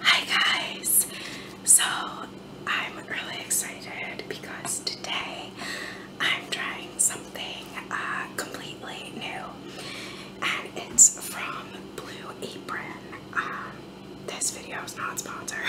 Hi guys! So I'm really excited because today I'm trying something uh, completely new and it's from Blue Apron. Um, this video is not sponsored.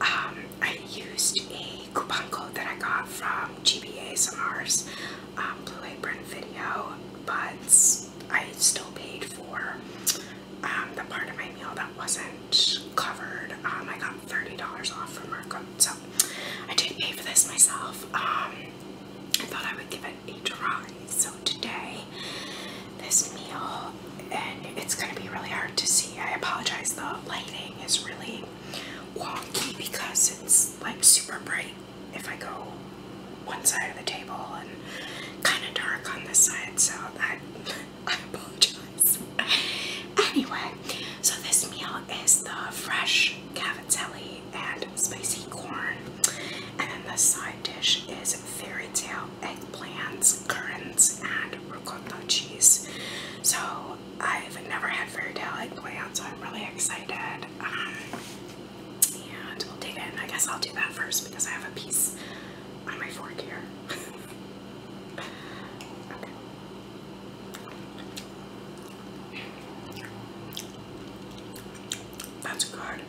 Um, I used a coupon code that I got from GBA's Sonars um, Blue Apron video but I still paid for um, the part of my meal that wasn't covered. Um, I got $30 off from Markham, so I did pay for this myself. Um, I thought I would give it a try. So today, this meal, and it's going to be really hard to see. I apologize, the lighting is really wonky because it's like super bright if I go one side of the table and kind of dark on this side, so I, apologize. anyway, so this meal is the fresh cavatelli and spicy corn, and the side dish is fairy tale eggplants, currants, and ricotta cheese. So I've never had fairy tale eggplants, so I'm really excited. Um, and we I guess I'll do that first because I have a piece on my fork here. That's good.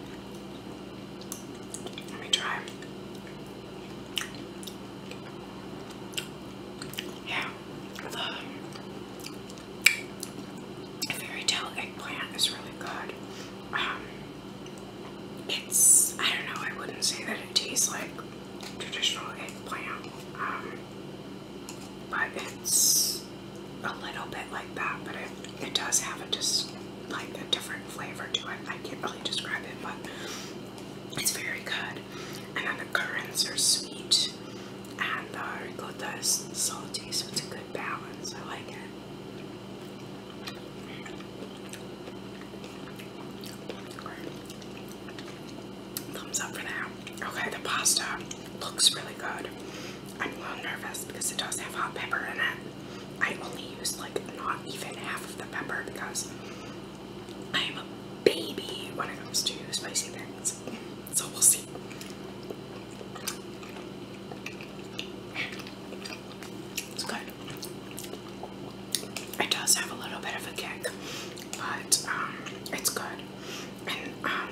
Let me try. Yeah, the fairy tale eggplant is really good. Um, it's, I don't know, I wouldn't say that it tastes like traditional eggplant, um, but it's a little bit like that, but it, it does have a just like a different flavor to it. I can't really describe it, but it's very good. And then the currants are sweet, and the ricotta is salty, so it's a good balance. I like it. Thumbs up for that. Okay, the pasta looks really good. I'm a little nervous because it does have hot pepper in it. I only use like not even half of the pepper because I'm a baby when it comes to spicy things. So we'll see. It's good. It does have a little bit of a kick, but um, it's good. And um,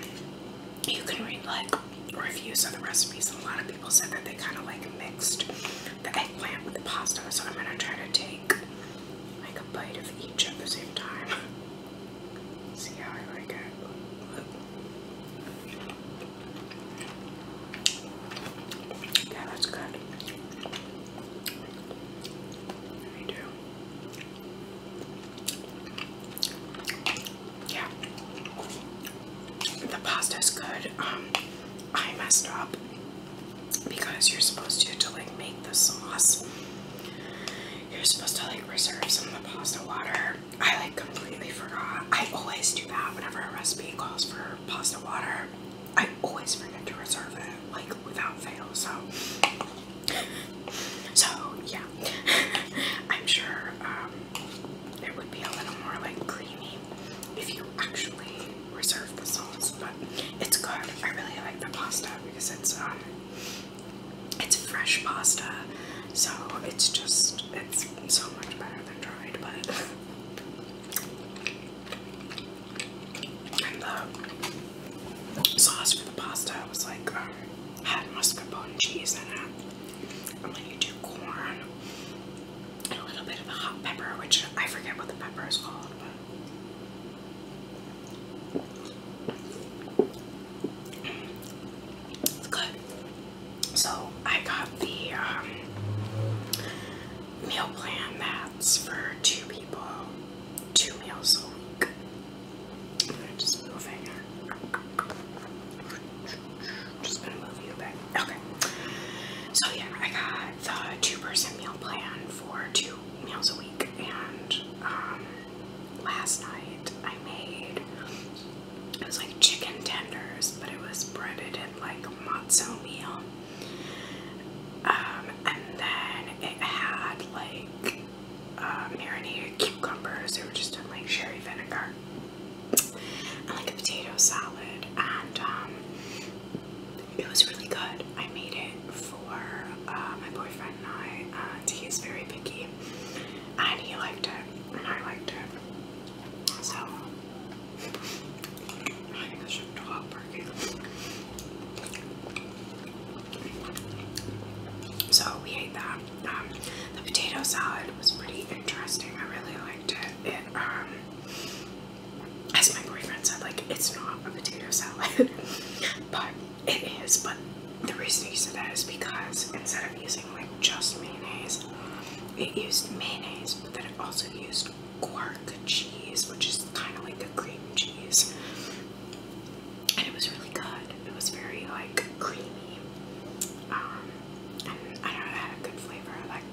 you can read like reviews of the recipes. A lot of people said that they kind of like mixed the eggplant with the pasta. So I'm gonna try to take like a bite of each at the same time. See how I like it. Yeah, that's good. Me too. Yeah. The pasta's good. Um, I messed up because you're supposed to to like make the sauce. You're supposed to like reserve some of the pasta water I like completely forgot. I always do that whenever a recipe calls for pasta water. I always forget to reserve it, like without fail. So, so yeah, I'm sure um, it would be a little more like creamy if you actually reserve the sauce. But it's good. I really like the pasta because it's um, it's fresh pasta, so it's just it's so much better than dried, but the uh, sauce for the pasta was like um, had mascarpone cheese in it. And when you do corn and a little bit of the hot pepper, which I forget what the pepper is called, but it's good. So I got the um, meal plan that's for two people, two meals a week. I'm gonna just move it. Just gonna move you a Okay. So yeah, I got the two-person meal plan for two meals a week, and um, last night I made it was like chicken tenders, but it was breaded in like matzo meal. Um, and then it had like uh, marinated cucumbers. They were just in like sherry vinegar. And like a potato salad. And um, it was really good. I made it for uh, my boyfriend and I. And he's very picky. And he liked it. And I liked it. So, I think I should drop parking. So, we ate that. Um, the potato salad was pretty interesting. I really liked it. Um, as my boyfriend said, like, it's not a potato salad, but it is. But the reason he said that is because instead of using like just mayonnaise. It used mayonnaise, but then it also used quark cheese, which is kind of like a cream cheese. And it was really good. It was very like creamy. Um, and I don't know, it had a good flavor. of that.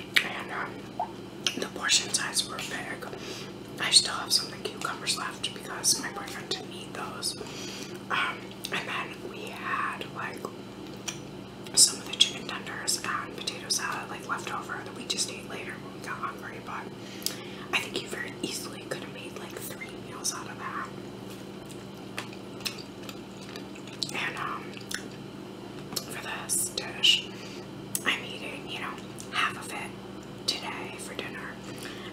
it. And um, the portion size were big. I still have some of the cucumbers left because my boyfriend didn't eat those. Um, and then we had like some of the chicken tenders and potato salad like leftover that we just ate later when we got hungry. But I think you very easily could have made like three meals out of that. And um, for this dish, I'm eating, you know, half of it today for dinner.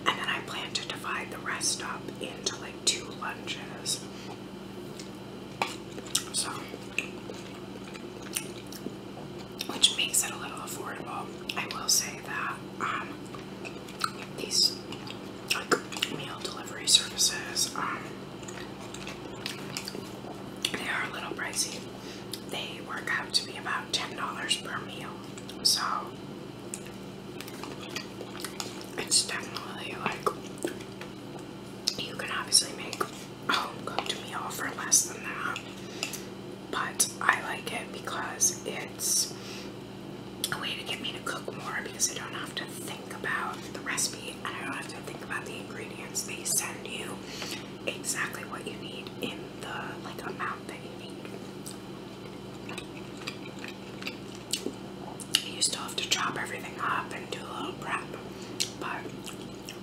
And then I plan to divide the rest up into like two lunches. So, which makes it a little affordable. I will say that um, these meal delivery services, um, they are a little pricey they work out to be about $10 per meal. So it's definitely like you can obviously make a home cooked meal for less than that. But I like it because it's a way to get me to cook more because I don't have to think about the recipe and I don't have to think about the ingredients. They send you exactly what you need in the like amount that you need. You still have to chop everything up and do a little prep, but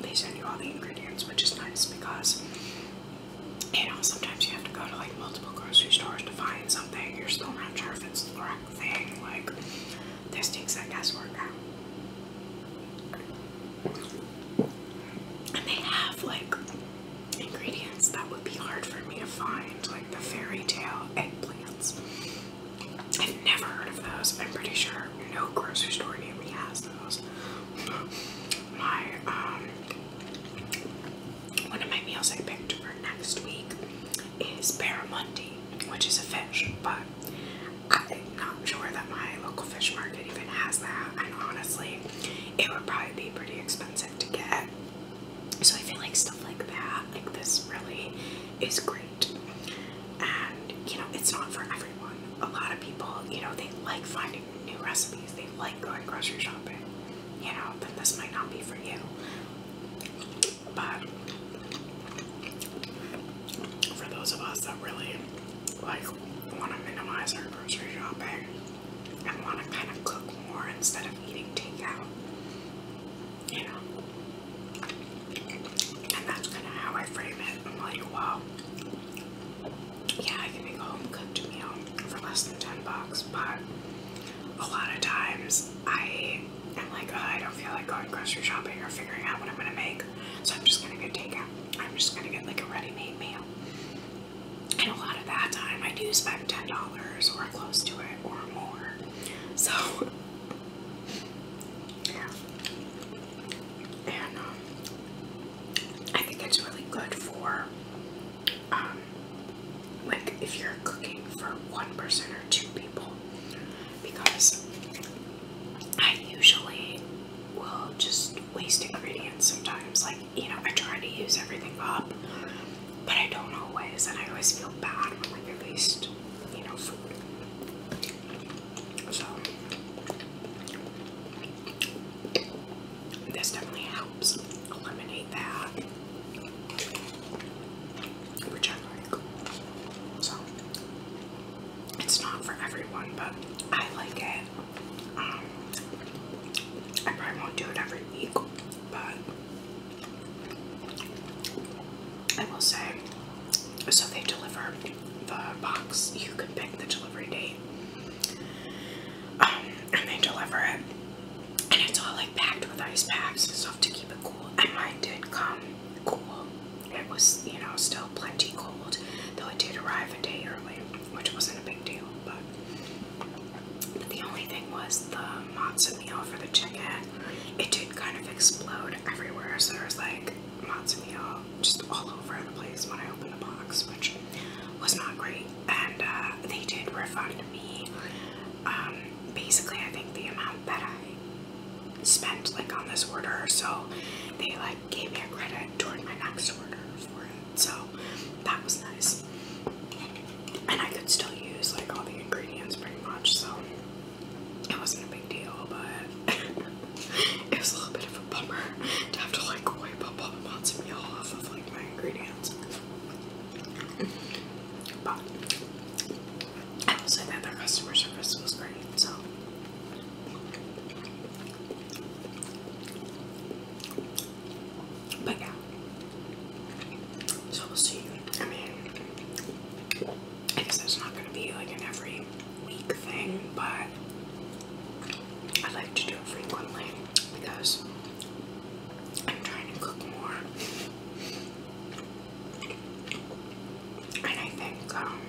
they send you all the ingredients, which is nice because you know sometimes you have to go to like multiple grocery stores to find something. You're still not sure if it's the right thing. Like this takes that guesswork out. And they have like ingredients that would be hard for me to find, like the fairy tale eggplants. I've never heard of those. I'm pretty sure no grocery store near me has those. My um, one of my meals I picked for next week is barramundi, which is a fish, but I'm not sure that my local fish market even has that. And honestly, it would probably be pretty expensive to get. So I feel like stuff like that, like this really is great. And you know, it's not for everyone. A lot of people, you know, they like finding new recipes, they like going grocery shopping, you know, but this might not be for you. But for those of us that really like want to minimize our grocery shopping and want to kind of cook more instead of eating takeout. You know? And that's kind of how I frame it. I'm like, wow, yeah, I can make a home cooked meal for less than 10 bucks, but a lot of times I am like, I don't feel like going grocery shopping or figuring out what I'm going to make, so I'm just going to get takeout. I'm just going to get like a ready made meal and a lot of that time I do spend ten dollars or close to it or more. So yeah. And um, I think it's really good for um like if you're cooking for one person or two people because I usually will just waste ingredients sometimes like you know, I try to use everything up, but I don't always, and I always feel bad when I released, you know, food. So, this definitely helps eliminate that, which I like. So, it's not for everyone, but I like it. I probably won't do it every week, but I will say so they deliver the box, you can pick the delivery date. Um, and they deliver it, and it's all like packed with ice packs and stuff to keep it cool. And mine did come cool, it was you know still plenty cold, though it did arrive a day early which wasn't a big deal, but, the only thing was the matzo meal for the chicken. It did kind of explode everywhere, so there was like matzo meal just all over the place when I opened the box, which was not great. And uh, they did refund me. Um, basically, I think the amount that I spent like on this order, so they like like gave me a credit toward my next order for it. So that was nice. And I could still use like all the ingredients pretty much, so it wasn't a big deal, but it was a little bit of a bummer to have to like wipe up all the matzo meal off of like my ingredients. But I will say that their customer service was great, so but yeah. So we'll see. I mean, I guess that's not going to be like an every week thing, but I like to do it frequently because I'm trying to cook more. And I think um,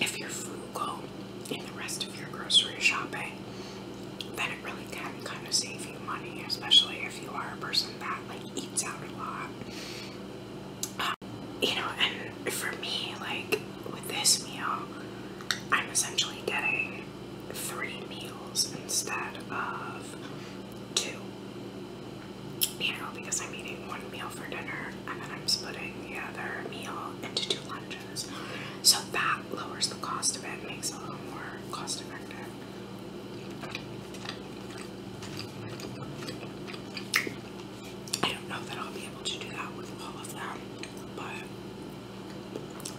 if you're frugal in the rest of your grocery shopping, then it really can kind of save you money, especially if you are a person that like eats out a lot. Um, you know, and for me, like with this meal, I'm essentially getting three meals instead of two. You know, because I'm eating one meal for dinner and then I'm splitting the other meal into two lunches. So that lowers the cost of it, makes it a little more cost effective. I don't know that I'll be able to do that with all of them, but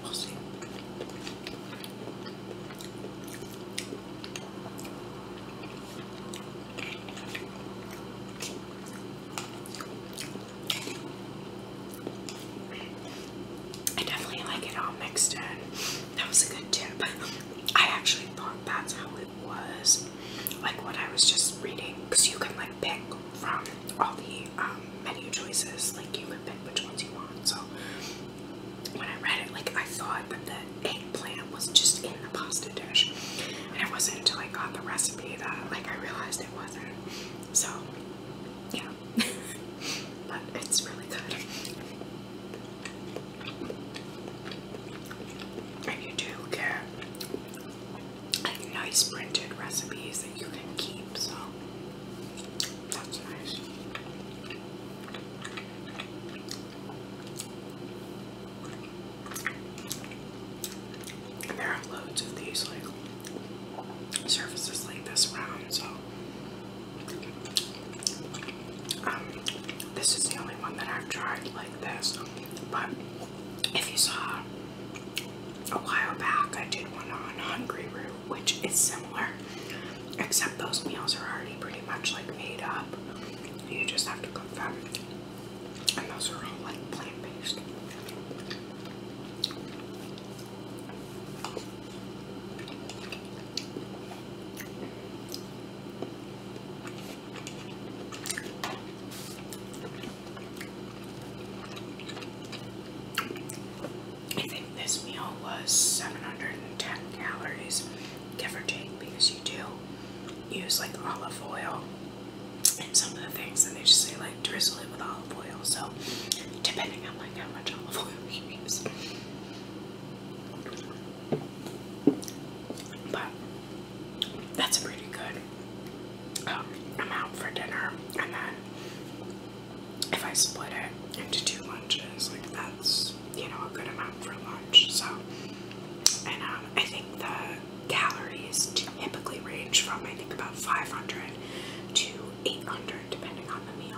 we'll see. I definitely like it all mixed in. That was a good tip. I actually thought that's how it was. Like what I was just reading. Because you can like pick from all the um, menu choices. Like you could pick which ones you want. So when I read it, like I thought that the eggplant was just in the pasta dish. And it wasn't until I got the recipe that like I realized it wasn't. So, yeah. but it's really good. And you do get nice printed recipes that you can keep, so that's nice there are loads of these like surfaces like this round, so um, this is the only one that I've tried like this. But if you saw a while back, I did one on Hungry Root, which is similar, except those meals are already pretty much like made up. You just have to cook them and those are all like plant based. I think this meal was 710 calories, give or take, because you do use like olive oil and some of the things and they just say like drizzle it with olive oil so depending on like how much olive oil you use but that's pretty good um, I'm out for dinner and then if I split it into two lunches like that's you know a good amount for lunch so and um, I think that calories typically range from I think about 500 to 800 depending on the meal.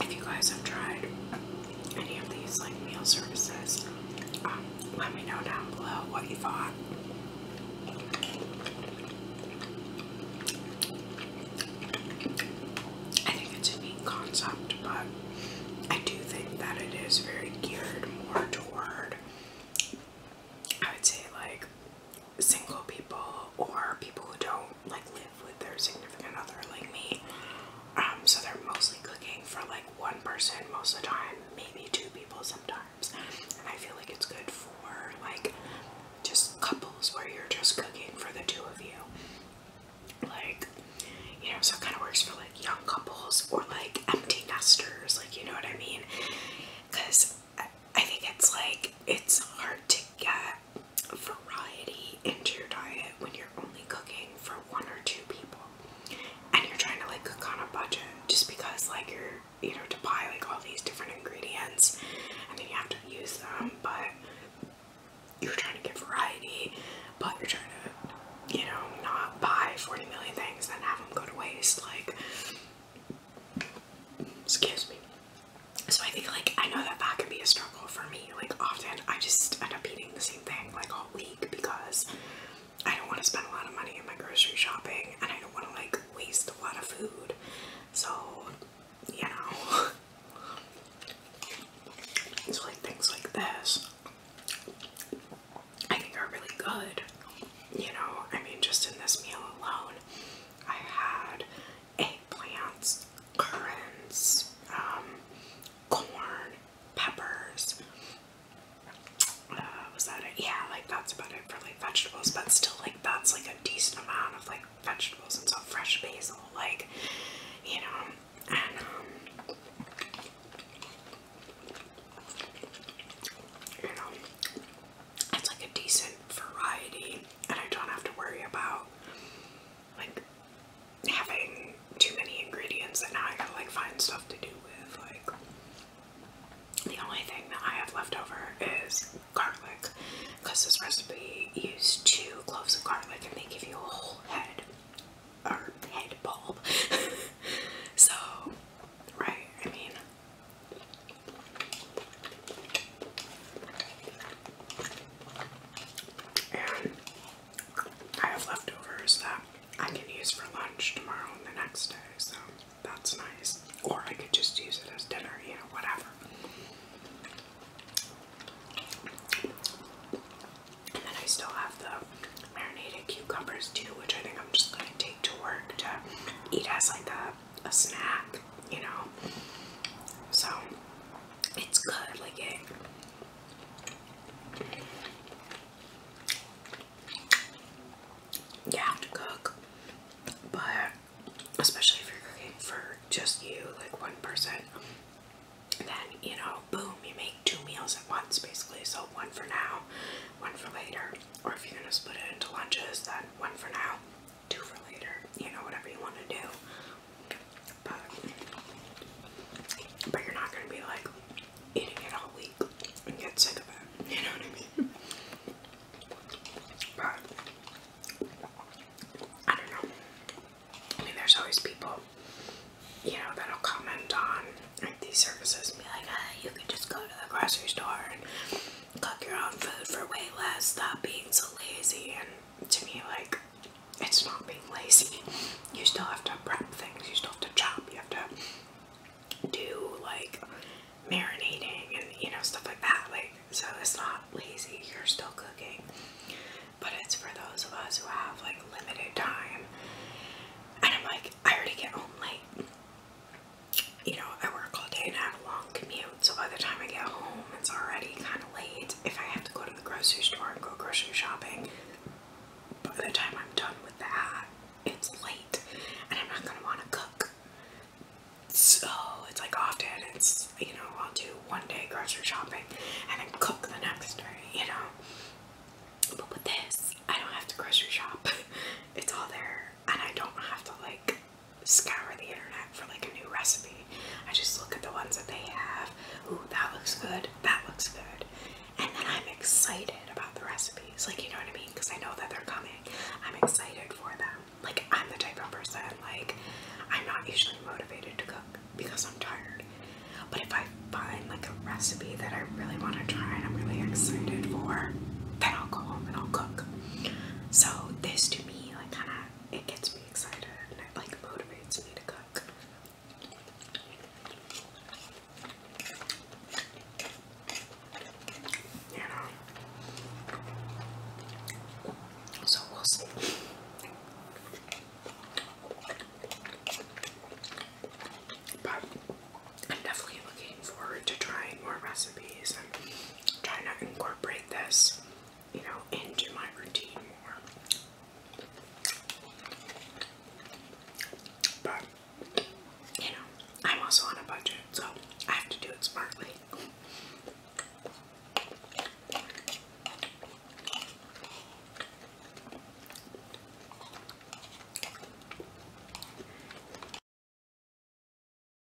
if you guys have tried any of these like meal services, let me know down below what you thought. I think it's a neat concept, but I do think that it is very geared more toward, I would say, like single people or people who don't like live with their significant other like me. Um, so they're mostly cooking for like one person most of the time, maybe two people sometimes. And I feel like it's good for like just couples where you're just cooking for the two of you. Like, you know, so it kind of works for like young couples or like empty nesters, like, you know what I mean? Because I think it's like, it's hard to get variety into your diet when you're only cooking for one or two people and you're trying to like cook on a budget just because like you're you know to buy like all these different ingredients and then you have to use them but you're trying to get variety but you're trying to you know not buy 40 million things and have them go to waste like excuse me so I think like I know that that can be a struggle for me. Like often I just end up eating the same thing like all week because I don't want to spend a lot of money in my grocery shopping and I don't want to like waste a lot of food. So you know. So like things like this I think are really good. You know, I mean just in this meal alone I had eggplants, currants, um, corn, peppers. Uh, was that it? Yeah, like that's about it for like vegetables, but still, like that's like a decent amount of like vegetables and so fresh basil, like you know, and um, you know, it's like a decent variety, and I don't have to worry about like having too many ingredients that now I gotta like find stuff to do with. Like the only thing that I have left over is garlic, because this recipe used two cloves of garlic and they give you a whole head or head bulb. so, right? I mean. And I have leftovers that I can use for lunch tomorrow and the next day, so that's nice. Or I could just use it as dinner, you know, whatever. And then I still have the marinated cucumbers too, which I think I'm just going to take to work to eat as like a, a snack, you know. So it's good, like it. Eh. You have to cook, but especially if you're cooking for just you, like one person, then you know, boom, you make two meals at once basically. So one for now, one for later, or if you're gonna split it into lunches, then one for now, do for later, you know, whatever you want to do. But, but you're not going to be like eating it all week and get sick of it, you know what I mean? I don't know. I mean, there's always people, you know, that'll comment on these services and be like, ah, you can just go to the grocery store and cook your own food for way less, stop being so lazy and to me like it's not being lazy. You still have to prep things, you still have to chop, you have to do like marinating and you know stuff like that. Like so it's not lazy, you're still cooking. But it's for those of us who have like limited time. And I'm like, I already get home late. You know, I work all day and I have a long commute so by the time I get home, it's already kind of late. If I have to go to the grocery store and go grocery shopping, by the time I'm done with that, it's late and I'm not going to want to cook. So it's like often it's, you know, I'll do one day grocery shopping and then cook the next day, you know. But with this, I don't have to grocery shop. It's all there and I don't have to like scour the internet for like a new recipe. I just look at the ones that they have. Ooh, that looks good. That looks good. And then I'm excited about the recipes. Like, you know what I mean? Because I know that they're coming. I'm excited for them. Like, I'm the type of person, like, I'm not usually motivated to cook because I'm tired. But if I find like a recipe that I really want to try and I'm really excited for, then I'll go home and I'll cook. So this to me like kind of it gets me excited and it like motivates me to cook. You know? So we'll see. But I'm definitely looking forward to trying more recipes and trying to incorporate this you know, into my routine more. But, you know, I'm also on a budget, so I have to do it smartly.